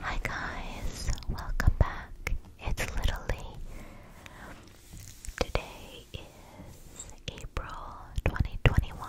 Hi guys, welcome back. It's literally today is April 2021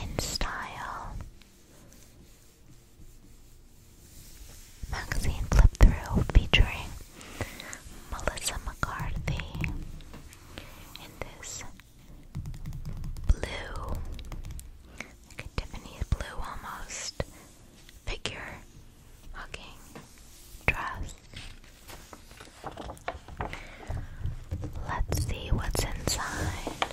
in style magazine flip through featuring Melissa McCarthy. In this blue, like a Tiffany blue almost figure hugging dress. Let's see what's inside.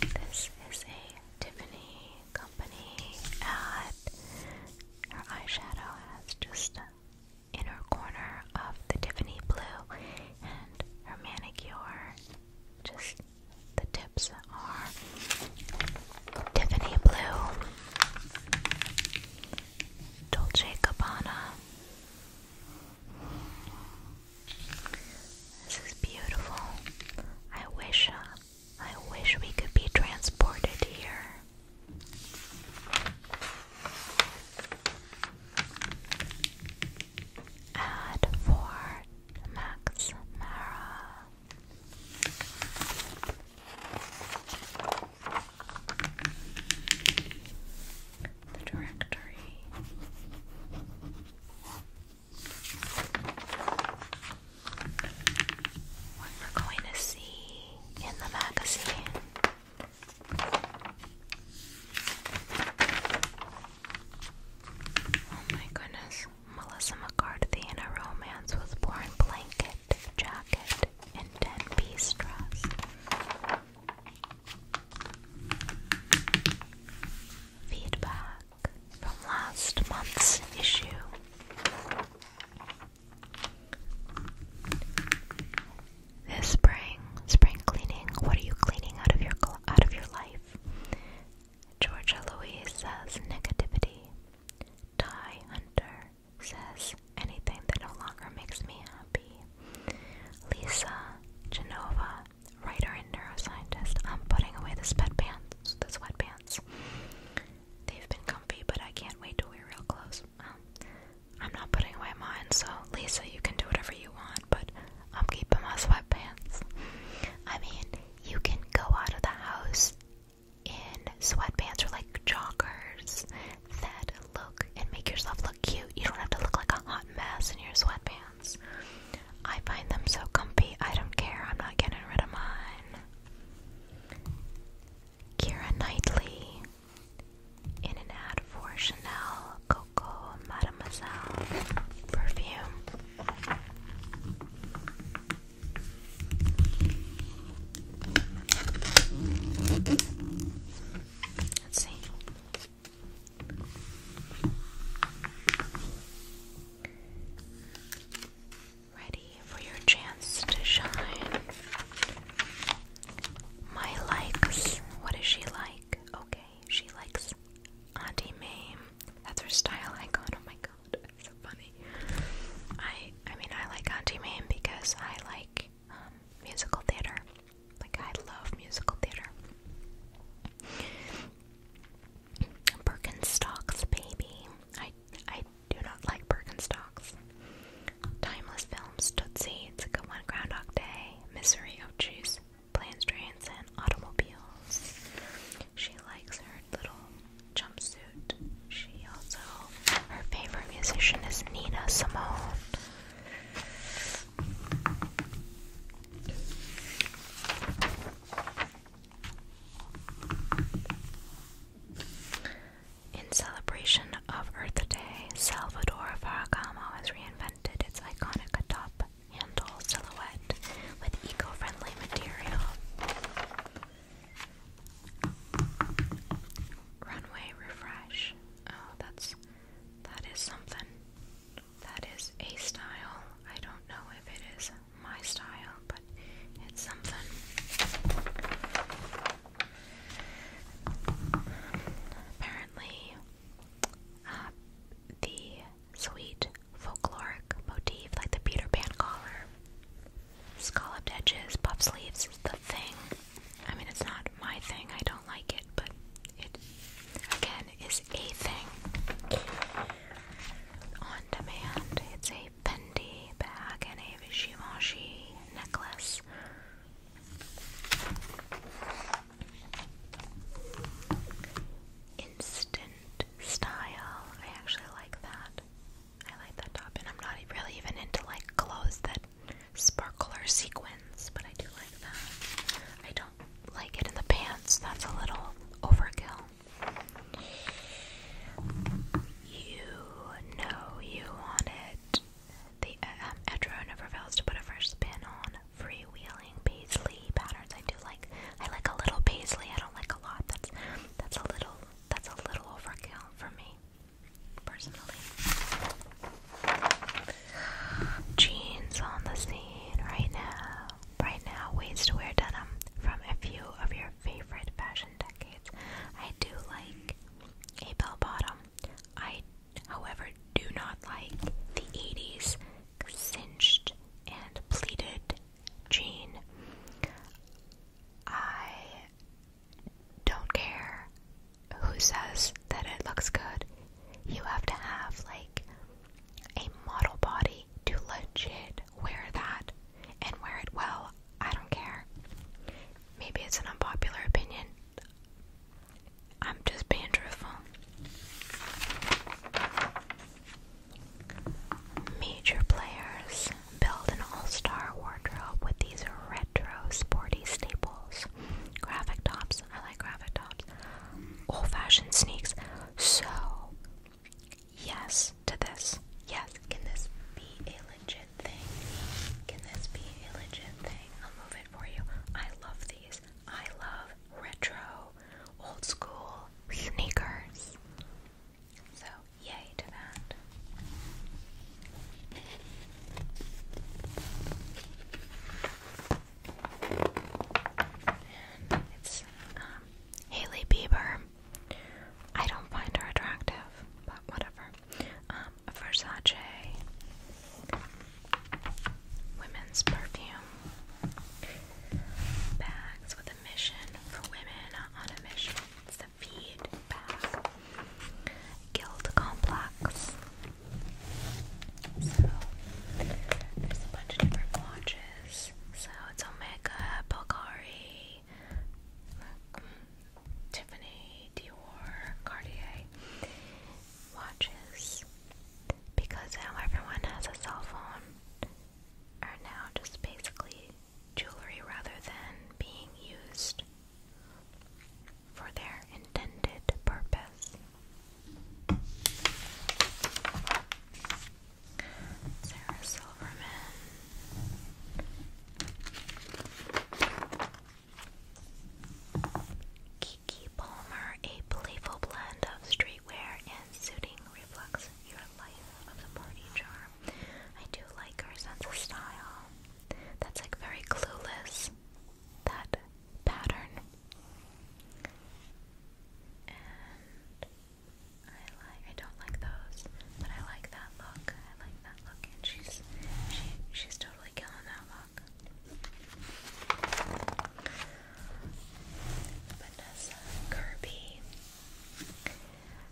This is a Tiffany company ad. Her eyeshadow has just inner corner of the Tiffany blue and her manicure. Just the tips are Tiffany blue, Dolce Gabbana. This is beautiful. I wish, uh, I wish we could be transported here. Ad for Max Mara. The directory. What we're going to see in the magazine Oh my goodness. Melissa McCarthy in a romance was born Blanket, jacket, and 10 piece dress. Feedback from last month's issue this spring, spring cleaning. What are you cleaning out of your out of your life? Georgia Louise says negativity. Ty Hunter says anything that no longer makes me happy. Lisa Genova, writer and neuroscientist. I'm putting away the sweatpants. The sweatpants. They've been comfy, but I can't wait to wear real clothes. I'm not putting away mine, so Lisa, you can do whatever you want, but I'm keeping my sweatpants. I mean, you can go out of the house in sweatpants or like joggers that look and make yourself look cute. You don't have to look like a hot mess in your sweatpants. I find them so comfy, I don't care. I'm not getting rid of mine. Kira Knightley in an ad for Chanel Coco Mademoiselle perfume. Let's see. Ready for your chance to shine. My likes. What is she like? okay, she likes Auntie Mae. That's her style icon. Oh my god, that's so funny. I I mean I like Auntie Mae because I like um, musical theater. Like I love musical theater. Birkenstocks, baby. I I do not like Birkenstocks. Timeless Films, Tootsie, It's a Good One, Groundhog Day, Misery, of Jeez, Planes, Trains, and Automobiles. She likes her little jumpsuit. She also, her favorite musician is Nina Simone. In celebration of Earth Day, Salvador Faragamo has reinvented reinvented its iconic top handle silhouette with eco-friendly material. Runway refresh. Oh, that's that is something. That is a style. I don't know if it is my style, but it's something. Apparently, um, the sweet folkloric motif, like the Peter Pan collar, scalloped edges, puff sleeves the thing. I mean, it's not my thing, I don't like it, but it again is a thing. On demand, it's a Fendi bag and a Givenchy necklace Instant style. I actually like that. I like that top, and I'm not really even into like clothes that sparkle or sequins, but I do like that. I don't like it in the pants. That's a little overkill. You know you want it the uh, um, never fails to put a fresh spin on free-wheeling paisley patterns. I do like I like a little paisley. I don't like a lot. That's that's a little that's a little overkill for me personally. Jeans on the scene right now. Right now, ways to wear denim from a few of your favorite fashion decades. I do like a bell bottom. I, however, do not like the 80s cinched and pleated jean. I don't care who says that it looks good. You have to have, like, a model body to legit wear that and wear it well. I don't care. Maybe it's an unpopular opinion. I'm just being truthful. Major players build an all star wardrobe with these retro sporty staples. Graphic tops, I like graphic tops. Old fashioned sneaks. So, yes to this. Yes, can this be a legit thing? Can this be a legit thing? I'll move it for you. I love these. I love retro, old school sneakers. So, yay to that. it's um, Haley Bieber. I don't find her attractive, but whatever. Um, Versace women's perfume bags with a mission for women on a mission. It's feed bag. Guild complex. So there's a bunch of different watches. So it's Omega, Bulgari, Tiffany, Dior, Cartier watches because now everyone has a cell phone are now just basically jewelry rather than being used for their intended purpose. Sarah Silverman. Kiki Palmer, a playful blend of streetwear and suiting, reflects your life of the party charm. I do like her sense of style. That's like very clueless, that pattern. And I like I don't like those, but I like that look. I like that look and she's she she's totally killing that Vanessa Kirby.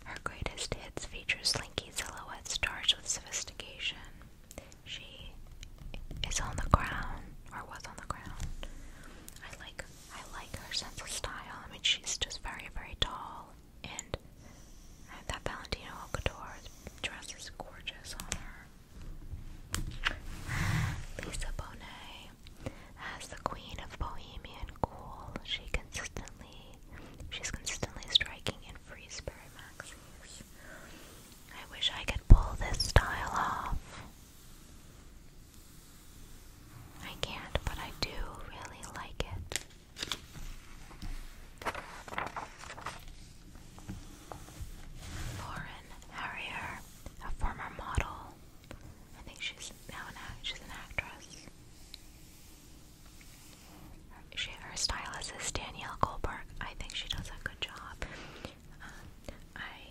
Her greatest hits feature slinky silhouettes charged with sophistication. She is on the ground, or was on the ground. I like, I like her sense of style. I mean, she's just very, very tall, and that Valentino Alcador dress is gorgeous on her. Lisa Bonet as the Queen of Bohemian Cool. She consistently, she's consistently striking in free spirit maxis. I wish I could pull this style off. I can't, but I do really like it. Lauren Harrier, a former model. I think she's now an actress. she, her stylist is Danielle Goldberg. I think she does a good job. Um, I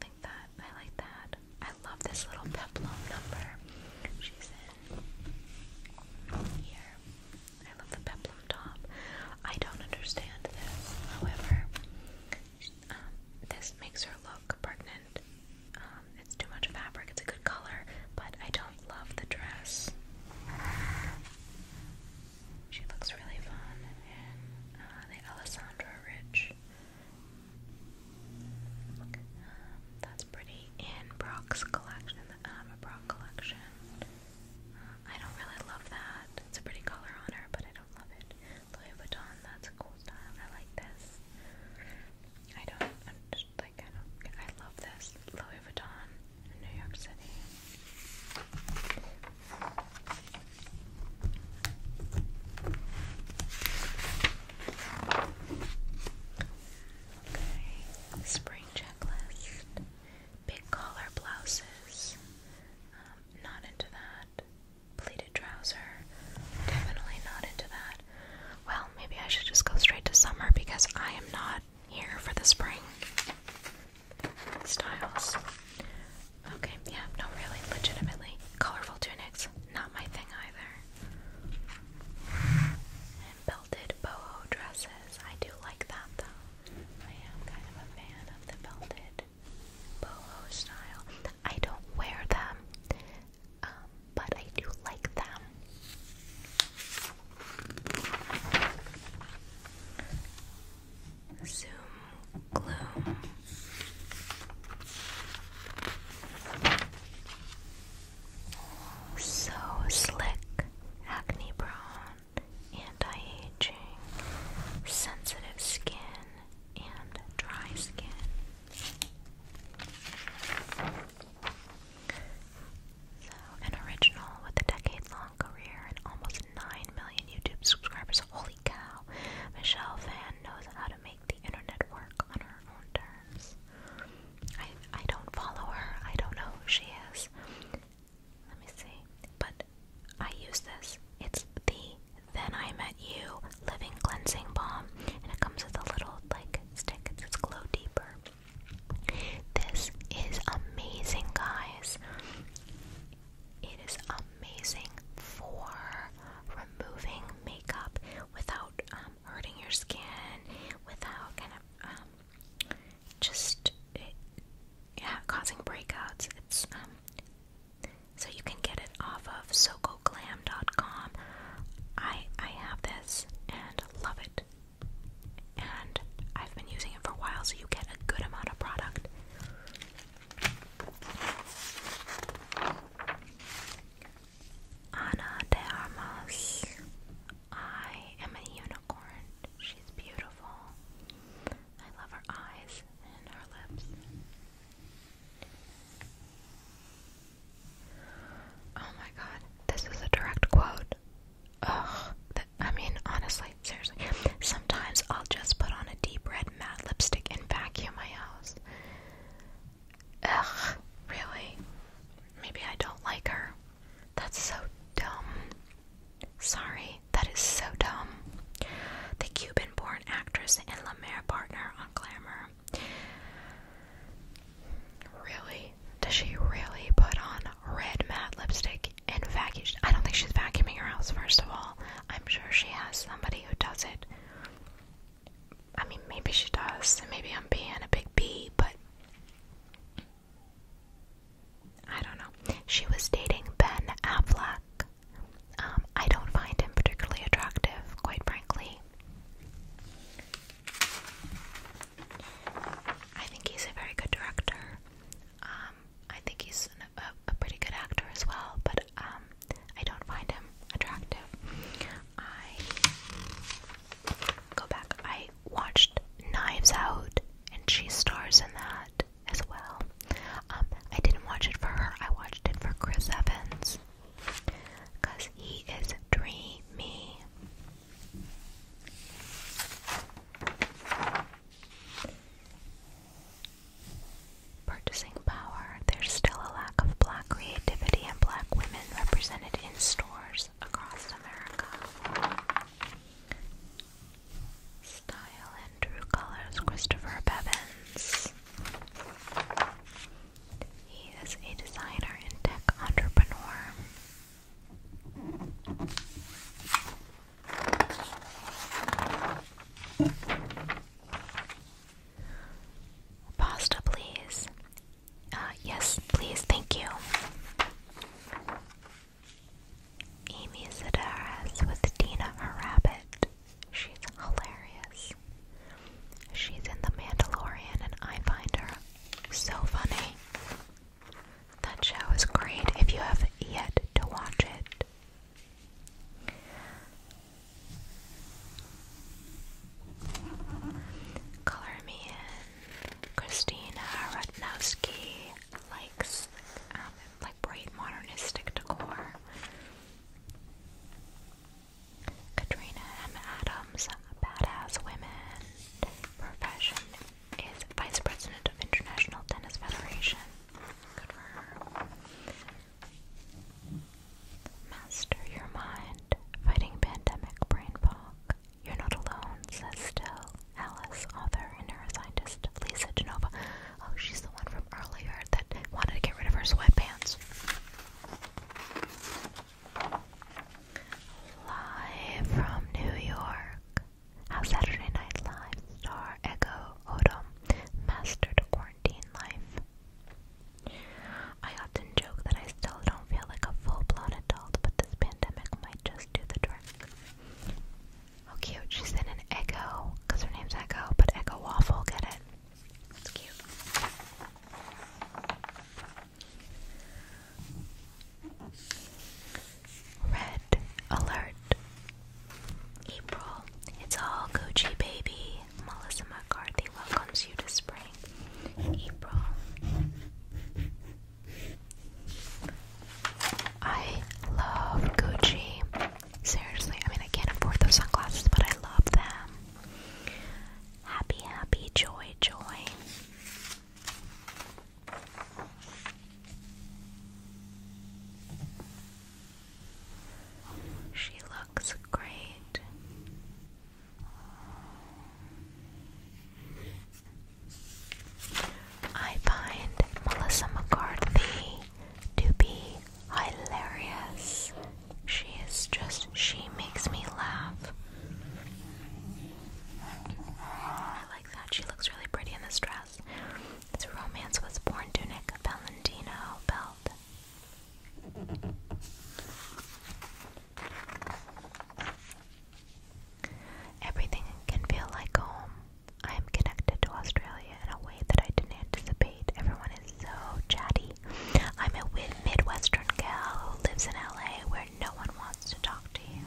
think that I like that. I love this little peplum number. She's in here. I love the peplum top. I don't understand this, however, um, this makes her look pregnant. Um, it's too much fabric, it's a good color, but I don't love the dress. She looks really fun in uh, the Alessandra Rich. Um, that's pretty in Brock's collection, the Ama Brock collection. I don't really love that. It's a pretty color on her, but I don't love it. Louis Vuitton, that's a cool style. I like this. I don't, i just like, I don't, I love this. Louis Vuitton in New York City. Okay, spring checklist big collar blouses. Um, not into that. Pleated trouser. Definitely not into that. Well, maybe I should just go straight to summer because I am not here for the spring styles. Okay, yeah, no, really, legitimately. Colorful tunics, not my thing either. belted boho dresses, I do like that though. I am kind of a fan of the belted boho style. I don't wear them, um, but I do like them. Zoom gloom. So slick, acne prone anti-aging, sensitive skin, and dry skin. So, an original with a decade-long career and almost 9 million YouTube subscribers. Holy cow! Michelle Van knows how to make the internet work on her own terms. I I don't follow her. I don't know who she is. Let me see. But I use this. It's the Then I Met You Living Cleansing Balm, and it comes with a little like stick. It says glow deeper. This is amazing, guys. It is amazing for removing makeup without um, hurting your skin, without kind of um, just yeah, causing breakouts. It's um, so you can get it off of dot com. I I have this and love it, and I've been using it for a while, so you get a good amount of product. Ana de Armas. I am a unicorn. She's beautiful. I love her eyes and her lips. Oh my god, this is a direct quote. Ugh, that, I mean, honestly, seriously. Sometimes I'll just put on a deep red matte lipstick and vacuum my house. Ugh, really? Maybe I don't like her. That's so dumb. Sorry, that is so dumb. The Cuban born actress and LaMere partner on Glamour. Really? Does she really put on red matte lipstick and vacuum? I don't think she's vacuuming her house, first of all. I'm sure she has somebody who does it. I mean, maybe she does, and maybe I'm being a big bee, but I don't know. She was dating Ben Affleck. Um, I don't find him particularly attractive, quite frankly. I think he's a very good director. Um, I think he's a, pretty good actor as well, but um, I don't find him attractive. I go back. I watched Knives Out, and she stars in that as well. Um, I didn't watch it for her, I watched it for Chris Evans. Because he is dreamy. Purchasing power. There's still a lack of black creativity and black women represented in stores across America. Style and True Colors, Christopher Bevins. He is a designer and tech entrepreneur. Pasta, please. Uh, yes, please, thank you. Amy Sedaris with Dina her rabbit. She's hilarious. She's in The Mandalorian and I find her so funny. That show is great if you have yet to watch it. Color Me In. Christina Rutnowski likes like bright modernistic decor. Katrina M. Adams, Badass Women. Profession is Vice President of International Tennis Federation. Master your mind, fighting pandemic brain fog. You're not alone, says still. Alice, author and neuroscientist Lisa Genova. Oh, she's the one from earlier that wanted to get rid of her sweatpants. Live from New York. How Saturday Night Live star Ego Odom mastered quarantine life. I often joke that I still don't feel like a full blown adult, but this pandemic might just do the trick. Oh, cute. She's in an Echo, because her name's Echo, but Echo Waffle. Get it? It's cute. Red Alert. April. It's all Gucci, baby. Melissa McCarthy welcomes you to spring. April. I love Gucci. Seriously, I mean, I can't afford those sunglasses, but I love them. Happy, happy, joy, joy. She looks great. I find Melissa McCarthy to be hilarious. She is just, she makes me laugh. I like that. She looks really pretty in this dress. This romance was born tunic, Valentino belt. Everything can feel like home. I am connected to Australia in a way that I didn't anticipate. Everyone is so chatty. I'm a Midwestern gal who lives in LA where no one wants to talk to you.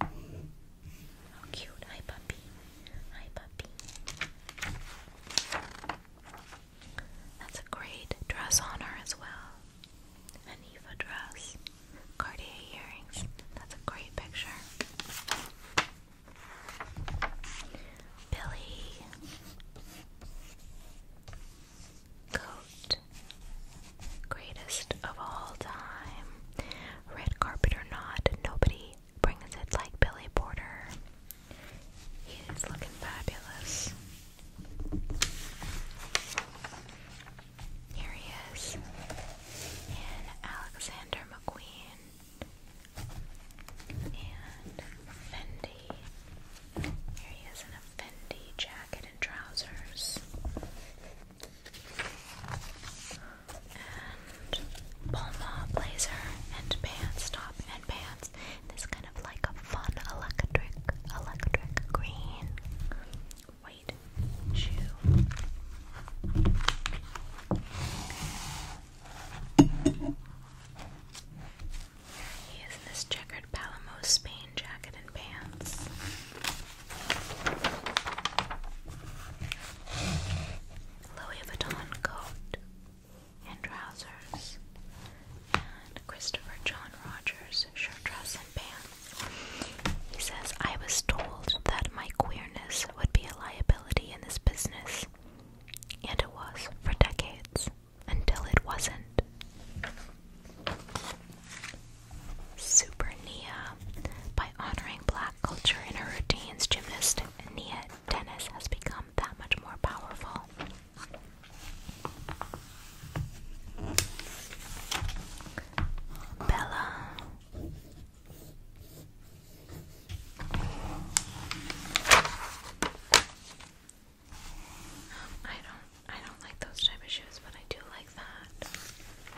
How cute. Hi, puppy. Hi, puppy. That's a great dress on her as well an Eva dress, Cartier earrings. That's a great picture. Billy coat, greatest of all time. Red carpet or not, nobody brings it like Billy Porter. He is looking fabulous. Here he is in Alexander McQueen and Fendi. Here he is in a Fendi jacket and trousers. And Palma blazer and pants, top and pants. This kind of like a fun electric, electric green white shoe. he is this checkered Palamo Spain jacket and pants. Louis Vuitton coat and trousers. And Christopher John Rogers shirt, dress, and pants. He says, I was told that my queerness would be a liability in this business, and it was for decades until it wasn't. Super Nia. By honoring black culture in her routines, gymnast Nia Dennis has become that much more powerful. Bella I don't I don't like those type of shoes, but I do like that.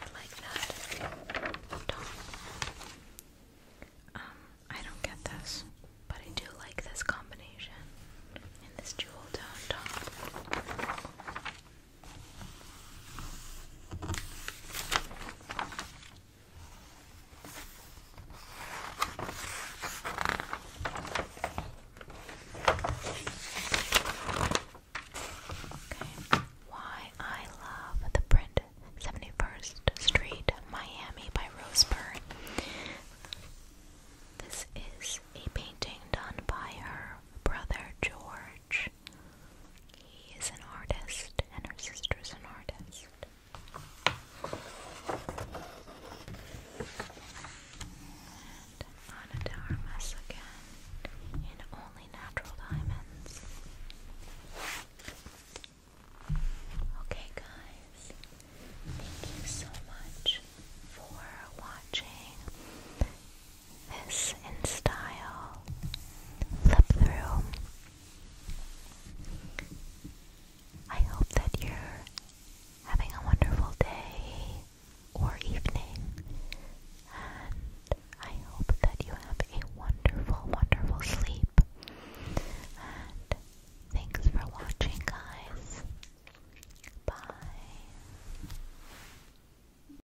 I like that. Don't. Um, I don't get this, but I do like this combination in this jewel tone top. Why I Love the Print 71st Street, Miami by Rose Byrne. This is a painting done by her brother George. He is an artist, and her sister is an artist. And Anadarmus again in only natural diamonds. Okay, guys, thank you so much for watching this in style. Flip through. I hope that you're having a wonderful day or evening, and I hope that you have a wonderful, wonderful sleep. And thanks for watching, guys. Bye.